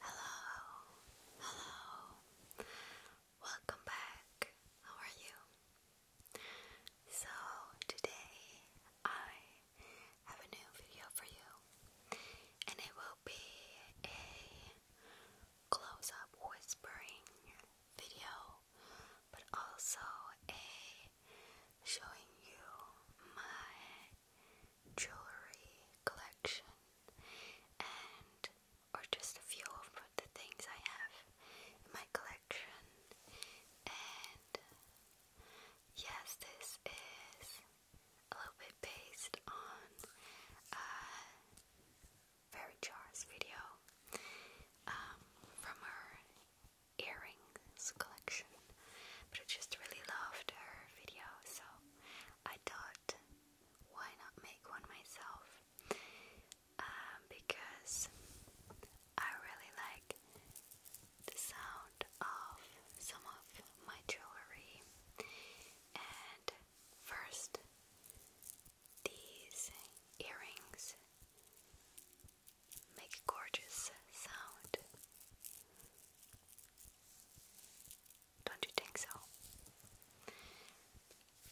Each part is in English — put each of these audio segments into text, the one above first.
Hello, hello, welcome back. How are you? So, today I have a new video for you, and it will be a close up whispering video, but also a showing you my jewelry collection and or just a few of the things I have in my collection and yes this is a little bit based on a very Jar's video um, from her earrings collection, but I just really loved her video, so I thought, why not make one myself? Um, because I really like the sound of some of my jewelry, and first, these earrings make a gorgeous sound. Don't you think so?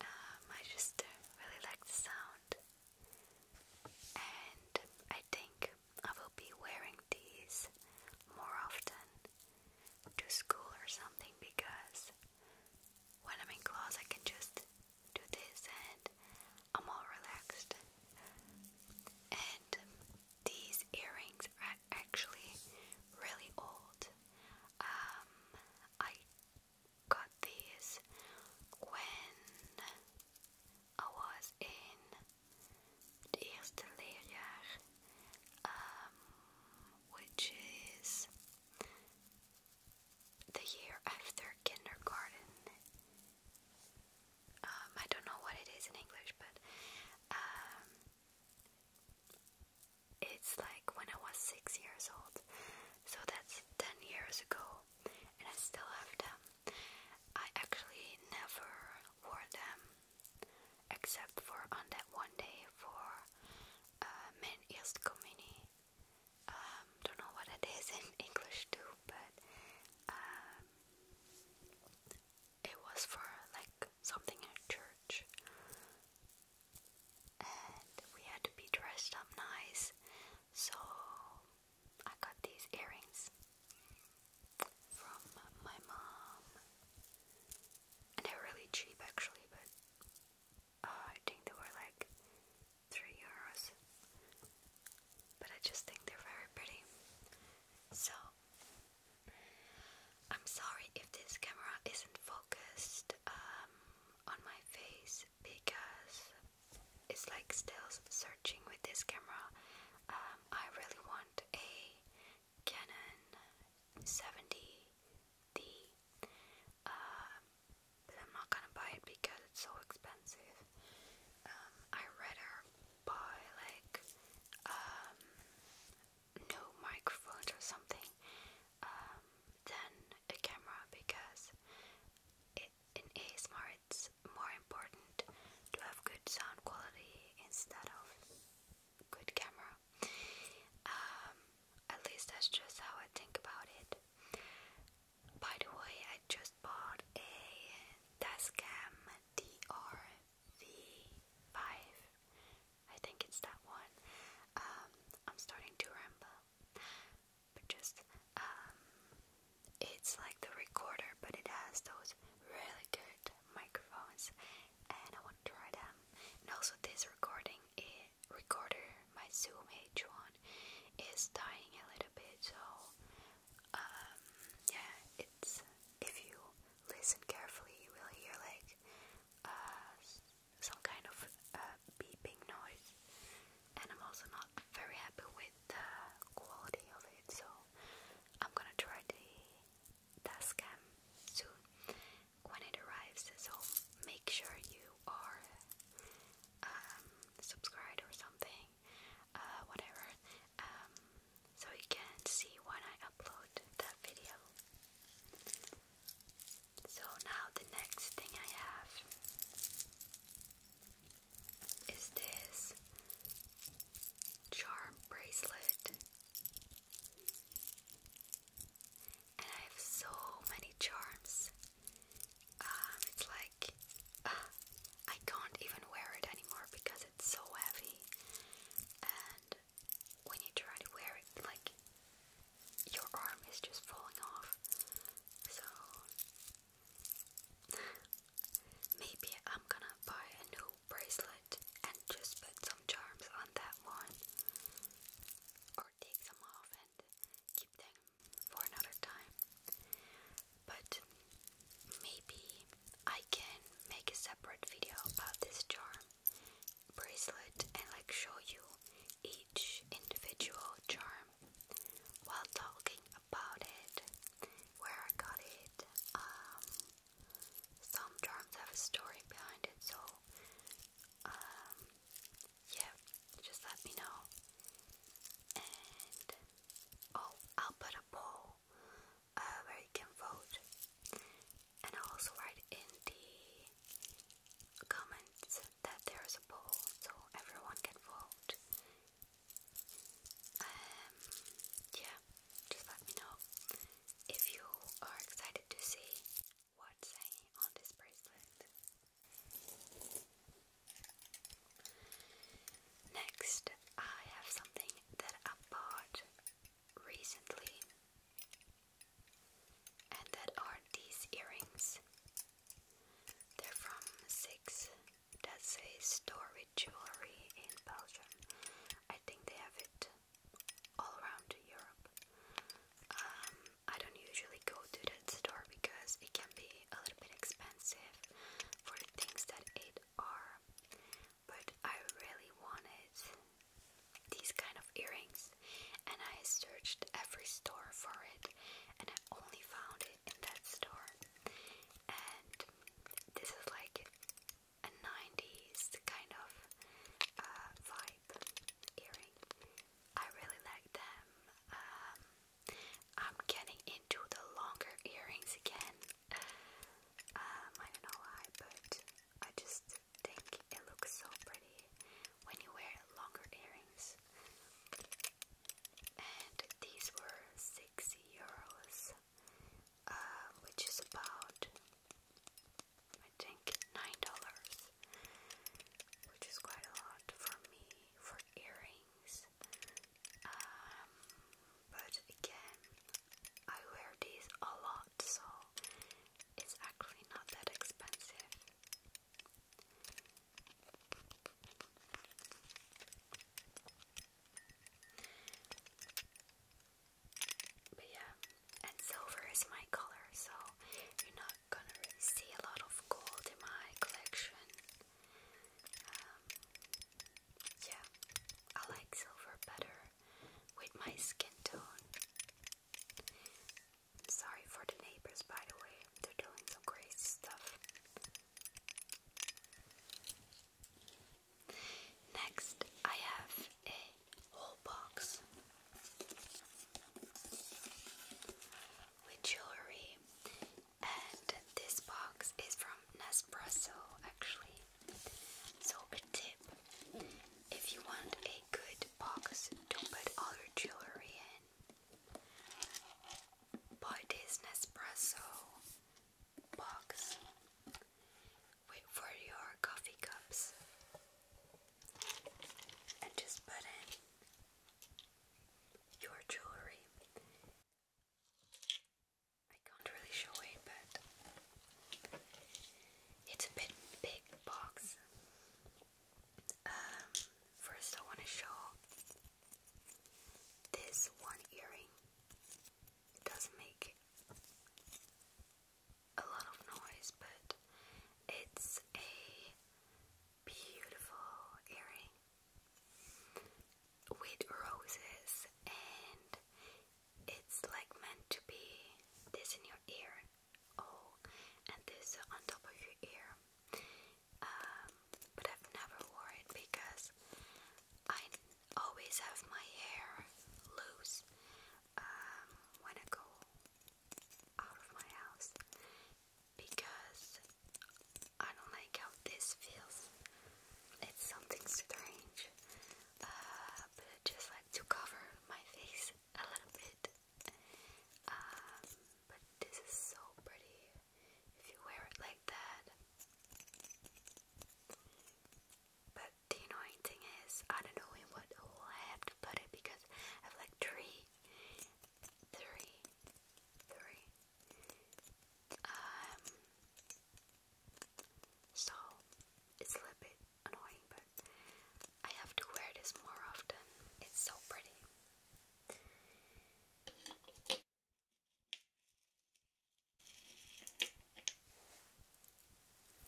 Um, I just really like the sound, and I think I will be wearing these more often to school or something because when I'm in class, I can just do this and I'm all relaxed. And these earrings are actually really old. Um, I got these when I was in the eerste leerjaar, um, which is the year after kindergarten um, I don't know what it is in English, but um, it's like when I was six years old, so that's ten years ago, and I still have them. I actually never wore them except for on that one day for uh, men communie. Um, don't know what it is in English too, but it was for like something in church. And we had to be dressed up nice, so I got these earrings from my mom. And they're really cheap actually, but uh, I think they were like 3 euros. But I just think they're very pretty. So I'm sorry if this camera isn't focused um, on my face because it's like still searching with this camera. Um, I really want a Canon 70D, um, but I'm not gonna buy it because it's so expensive. Um, I rather buy like um, no microphones or something um, than a camera because it, in ASMR it's more important to have good sound quality instead of good camera. Um, at least that's just how I think about it. By the way, I just bought a Tascam DR V5. I think it's that one. Um, I'm starting to ramble. But just, um, it's like the recorder, but it has those really good microphones, and I want to try them. And also, this recording it, eh, recorder, my Zoom H1, is dying a little bit, so um, yeah, it's, if you listen carefully, you will hear like, uh, some kind of uh, beeping noise, and I'm also not very happy with the quality of it, so I'm gonna try the dashcam soon when it arrives, so make sure you are um, subscribed or something, uh, whatever, um, so you can see when I upload that video. So now the next thing I have is this charm bracelet. And I have so many charms. Um, it's like uh, I can't even wear it anymore because it's so heavy. And when you try to wear it, like your arm is just falling off. So maybe I'm gonna buy a new bracelet and just put some charms on that one. Or take some off and keep them for another time but maybe I can make a separate video about this charm bracelet and like show you each individual charm while talking about it, where I got it. Um, some charms have a story behind it, so um, yeah, just let me know. And oh, I'll put a poll uh, where you can vote, and I'll also write in the comments that there is a poll, so everyone can vote. Um, yeah, just let me know if you are excited to see what's hanging on this bracelet. Next, I have something that I bought recently, and that are these earrings. They're from Six, that say Story Jewelry in Belgium. I think they have it all around Europe. Um, I don't usually go to that store because it can be a little bit expensive for the things that it are but I really wanted these kind of earrings and I searched every store for it and I only found it in that store and this is like a 90s kind of uh, vibe earring I really like them um, I'm getting into the longer earrings again um, I don't know but I just think it looks so pretty when you wear longer earrings. And these were 6 euros, uh, which is about, I think, $9, which is quite a lot for me for earrings. Um, but again, I wear these a lot, so it's actually not that expensive. But yeah, and silver is my color, so you're not gonna see a lot of gold in my collection. Um, yeah, I like silver better with my skin tone. Sorry for the neighbors, by the way, they're doing some crazy stuff. Next, I have a whole box with jewelry, and this box is from Nespresso actually. So a tip, if you want a good box, don't put all your jewelry in. Buy this Nespresso box Wait for your coffee cups and just put in your jewelry. I can't really show it, but it's a bit big box. Um, first, I want to show this one earring. It doesn't make a lot of noise, but it's a beautiful earring with roses and it's like meant to be this in your ear, oh, and this on top of your ear. Um, but I've never wore it because I always have my hair loose um, when I go out of my house because I don't like how this feels. It's something strange but uh, I just like to cover my face a little bit. Um, but this is so pretty if you wear it like that. But the annoying thing is, I don't know in what hole I have to put it because I have like three, three, three. Um, so it's a little bit annoying, but I have to wear this more often. It's so pretty.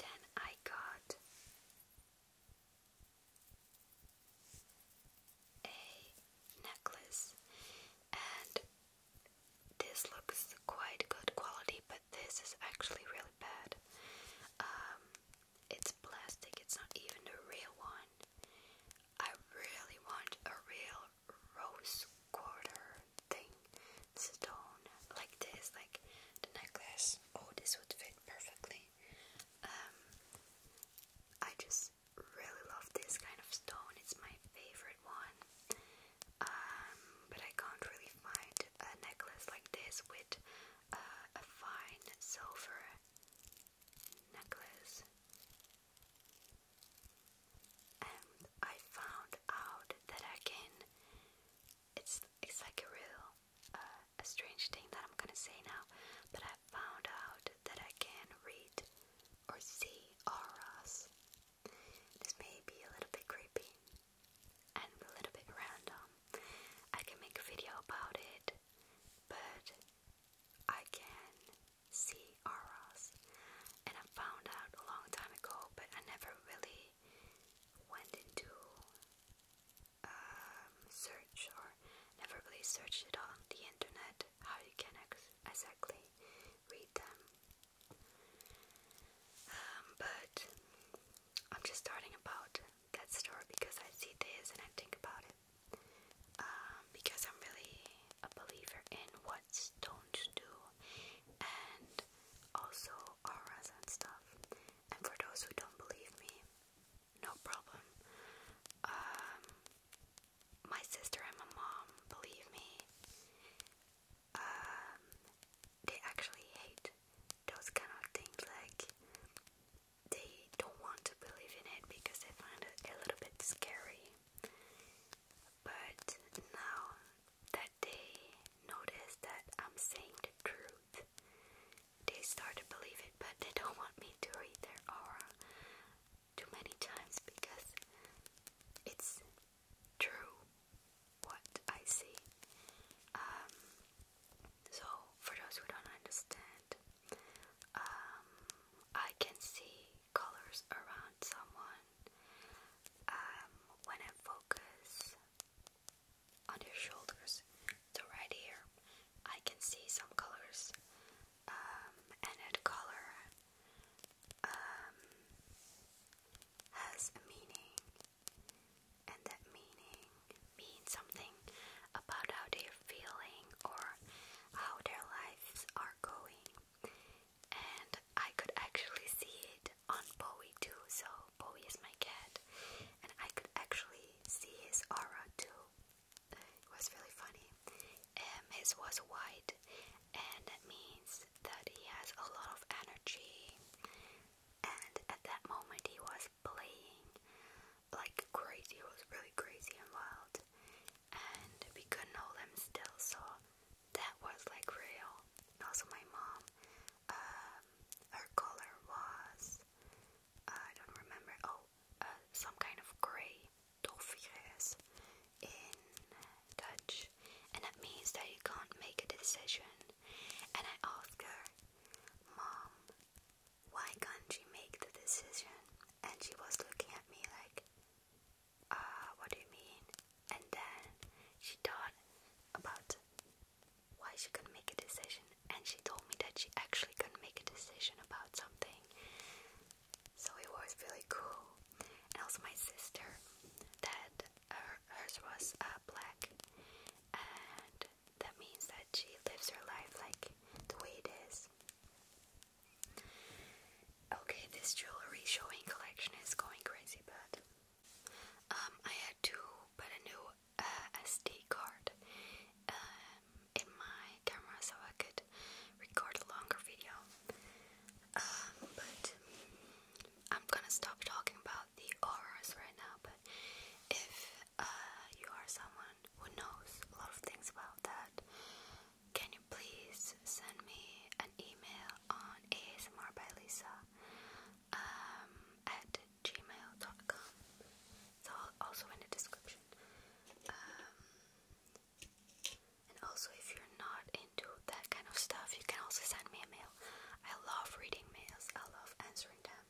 Then I got a necklace, and this looks quite good quality, but this is actually really bad. Um, it's plastic, it's not even the real one. I really want a real rose quarter thing, stone, like this, like the necklace. Oh, this would fit perfectly. Um, I just really love this kind of stone, it's my favorite one um, but I can't really find a necklace like this with uh, a fine silver necklace. And I found out that I can. It's it's like a real uh, a strange thing that I'm gonna say now, but I found out that I can read or see auras. This may be a little bit creepy and a little bit random. I can make a video about it, but I can see auras, and I found out a long time ago, but I never really went into um, search or never really searched it on the internet how you can exactly read them. Um, but I'm just starting about that story because I see this and I think about it. Um, because I'm really a believer in what stones do and also auras and stuff. And for those who don't believe me, no problem. Um, my sister and my mom believe me. Um, they actually hate those kind of things. Like they don't want to believe in it because they find it a little bit scary. But now that they notice that I'm saying the truth, they start to believe it. But they don't want me to read their aura too many times because it's true what I see. Um, so, for those who don't understand, um, I can see colors around someone um, when I focus on their shoulders to right here. I can see some colors, um, color um, has a meaning, and that meaning means something about how they're feeling or how their lives are going. And I could actually see it on Bowie too. So, Bowie is my cat, and I could actually see his aura too. It was really funny. Um, his was white, and that means that he has a lot of energy. And at that moment, he was playing like crazy, it was really crazy and wild, and we couldn't hold him still, so that was like real. And also, my mom, um, her color was I don't remember, oh, uh, some kind of gray, dolphy in Dutch, and that means that you can't make a decision. And I asked her, Mom, why can't you make the decision? And she was looking at me like, "Ah, what do you mean? And then she thought about why she couldn't make a decision, and she told me that she actually couldn't make a decision about something. So it was really cool. And also my sister that her, hers was uh, black, and that means that she lives her life like the way it is. Okay, this jewelry showing collection is going crazy, but um, I had to put a new uh, SD card um, in my camera so I could record a longer video. Um, but I'm gonna stop talking about the auras right now, but if uh, you are someone who knows a lot of things about that, can you please send me an email on ASMR by Lisa um, at gmail.com? It's all also in the description. Um, and also, if you're not into that kind of stuff, you can also send me a mail. I love reading mails, I love answering them.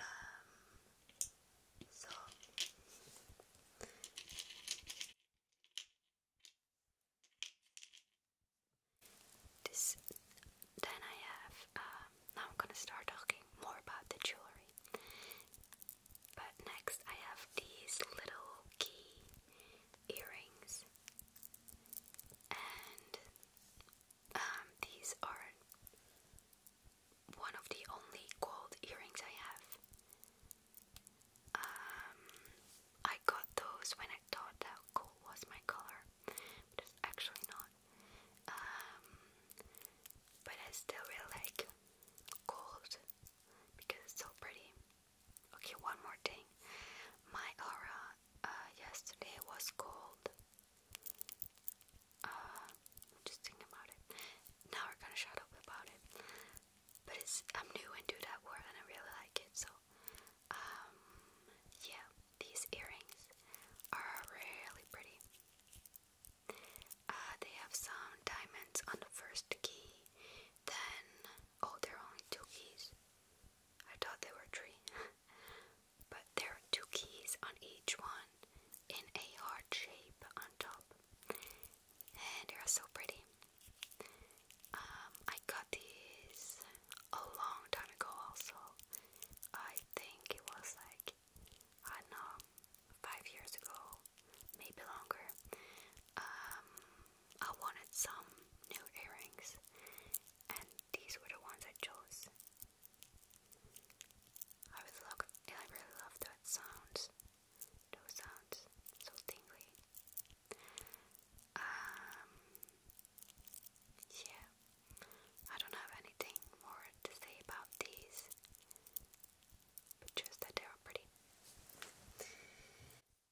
Um, so. then I have, um, now I'm gonna start talking more about the jewelry. But next I have these little key earrings and um, these are one of the only gold earrings I have. Um, I got those when I thought that gold was my color, but it's actually not. Um, but I still really like gold because it's so pretty. Okay, one more thing. My aura uh, yesterday was cold. Uh, just thinking about it. Now we're gonna shut about it. But it's I'm new and that word and I really like it. So, um, yeah, these earrings are really pretty. Uh, they have some diamonds on the first key, then Oh, there are only two keys. I thought there were three. but there are two keys on each one in a heart shape on top. And they are so pretty. Um, I got these a long time ago also. I think it was like, I don't know, five years ago, maybe longer. Um, I wanted some new earrings, and these were the ones I chose. I really love, that sounds, those sounds, so tingly. Um, yeah, I don't have anything more to say about these, but just that they are pretty.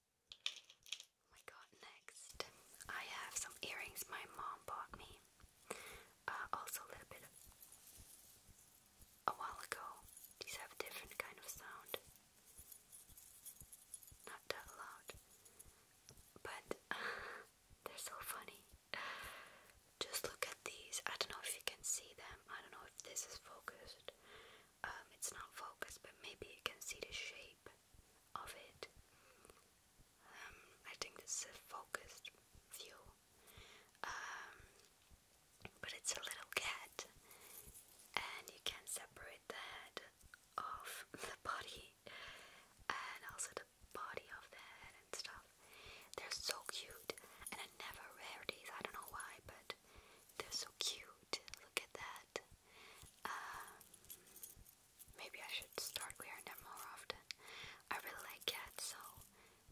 Oh my next I have some earrings my mom bought me. Uh, also a little bit a while ago. These have a different kind of sound. Not that loud. But they're so funny. Just look at these. I don't know if you can see them. I don't know if this is focused. Um, it's not focused, but maybe you can see the shape of it. Um, I think this a focused view. Um, but it's a little cat, and you can separate the head of the body, and also the body of the head and stuff. They're so cute, and I never wear these. I don't know why, but they're so cute. Look at that. Um, maybe I should start wearing them more often. I really like cats, so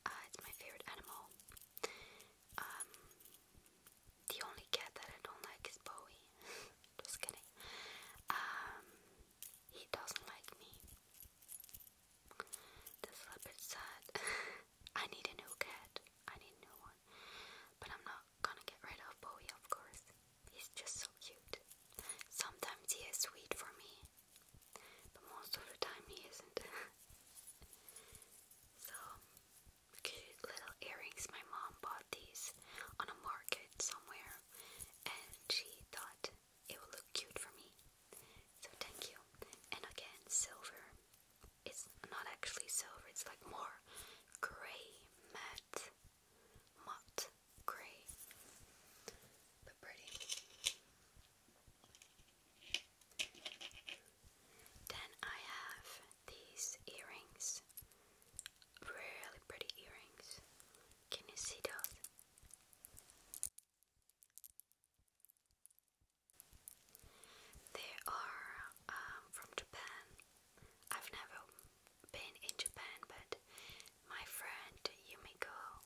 uh, it's my favorite animal. Um, the only cat that I don't like is Bowie. Just kidding. Um, he doesn't like me. That's a little I need a new cat. I need new one. But I'm not gonna get rid of Bowie, of course. He's just so cute. Sometimes he is sweet for me, but most of the time he isn't. so, cute little earrings. My mom bought these on a market somewhere, and she thought it would look cute for me. So, thank you. And again, silver. It's not actually silver, it's like more gray matte Matte grey, but pretty. Then I have these earrings. Really pretty earrings. Can you see those? They are um, from Japan. I've never been in Japan, but my friend Yumiko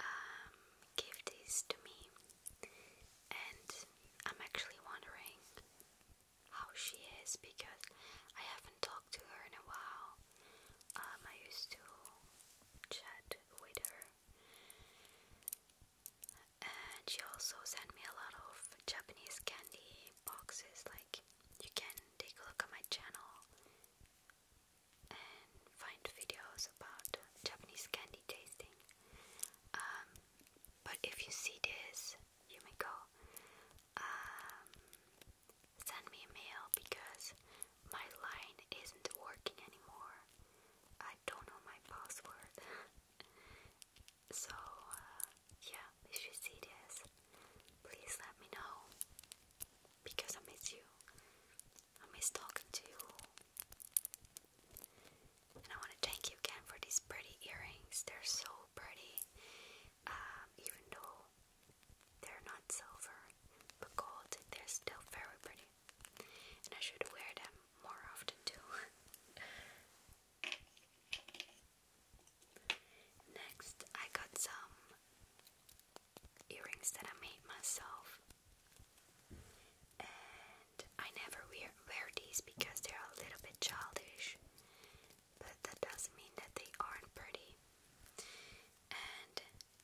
um, gave these to me, and I'm actually wondering how she is because I haven't talked to her in a while. Um, I used to chat with her, and she also sent me a lot of Japanese candy boxes, like you can take a look at my channel and find videos about Japanese candy tasting. Um, but if you see this, you may go. Um, send me a mail because my line isn't working anymore. I don't know my password. So, uh, yeah, if you see this, please let me know because I miss you, I miss talking to you, and I want to thank you again for these pretty earrings. They're so pretty, um, even though they're not silver but gold, they're still very pretty, and I should wear them more often too. Next, I got some earrings that I made myself, and I never wear, wear these because they're a little bit childish, but that doesn't mean that they aren't pretty. And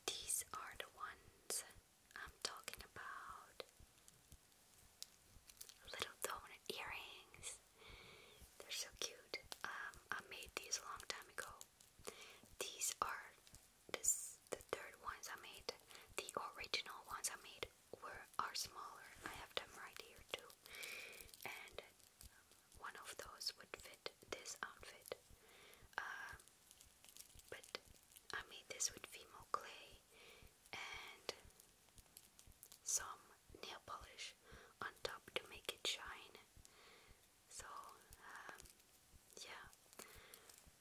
these are the ones I'm talking about little donut earrings. They're so cute. Um, I made these a long time ago. These are this the third ones I made. The original ones I made were are smaller. I have them right here too. And one of those would fit this outfit. Um, but I made this with Vimo clay and some nail polish on top to make it shine. So, um, yeah,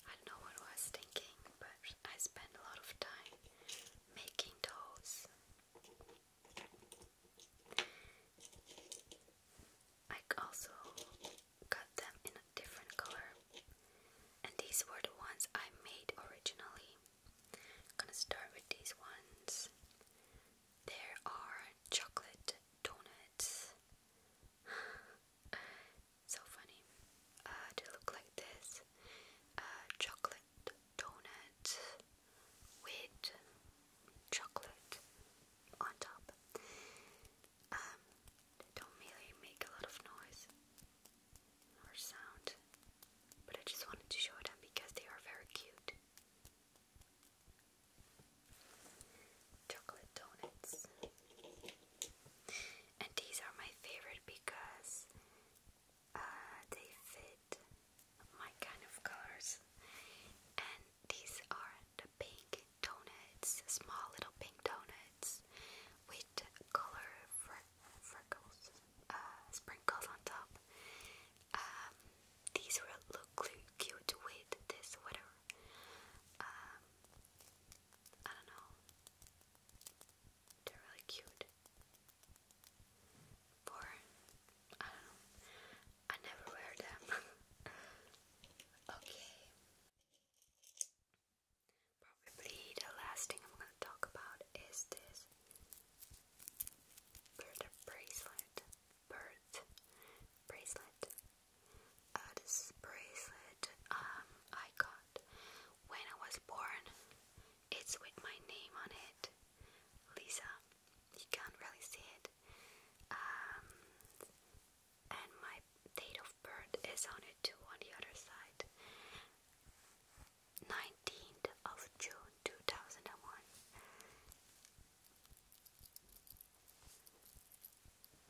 I don't know what I was thinking, but I spent a lot of time making those. I also got them in a different color, and these were the ones I made originally. I'm gonna start with these ones. There are chocolate donuts. so funny. Uh, they look like this. chocolate donut with chocolate on top. Um, they don't really make a lot of noise or sound, but I just wanted to show them because they are very cute chocolate donuts. And these are my favorite because uh, they fit my kind of colors. And these are the pink donuts, small little pink donuts with color freckles. Uh, sprinkles on top. Um, these will look cute with this sweater. Um, I don't know. They're really cute. For I never wear them. okay. Probably the last thing I'm gonna talk about is this Bird bracelet. Bird bracelet. this bracelet um, I got when I was born. It's with my name on it. Lisa. You can't really see it. Um, and my date of birth is on it too on the other side. 19th of June 2001.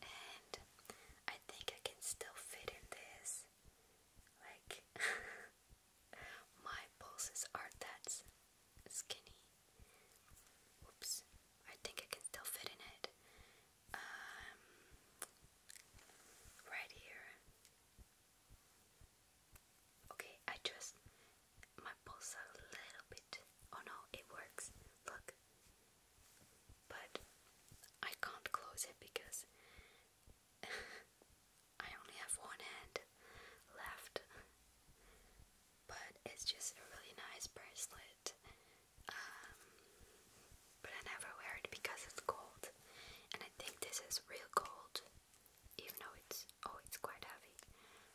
And I think I can still fit in this. Like, my pulses are that skinny. Oops, I think I can still fit in it. Um, right here. Okay, I just my pulse a little bit. Oh no, it works. Look. But I can't close it because I only have one hand left. But it's just a really nice bracelet. Um, but I never wear it because it's gold. And I think this is real gold even though it's oh it's quite heavy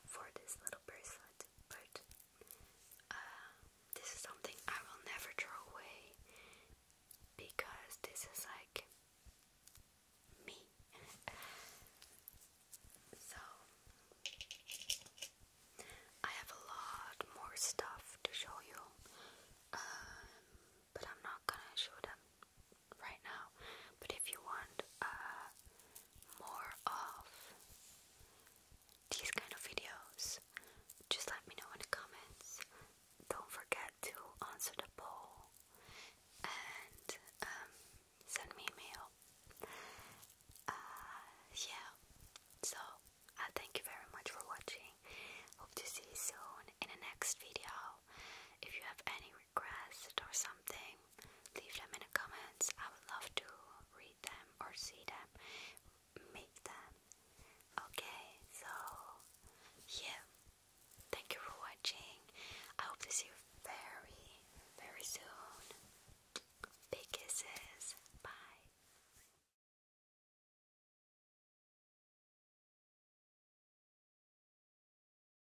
for this little bracelet, but uh, this is something I will never throw away because this is like me. so I have a lot more stuff to show you, um, but I'm not gonna show them right now. But if you want uh, more of these kind of videos, just let me know in the comments. Don't forget to answer the poll and um, send me a mail. Uh, yeah, so I thank you very much for watching. Hope to see you soon in the next video. If you have any request or something, leave them in the comments. I would love to read them or see them, make them. Okay, so yeah, thank you for watching. I hope to see you very, very soon. Big kisses. Bye.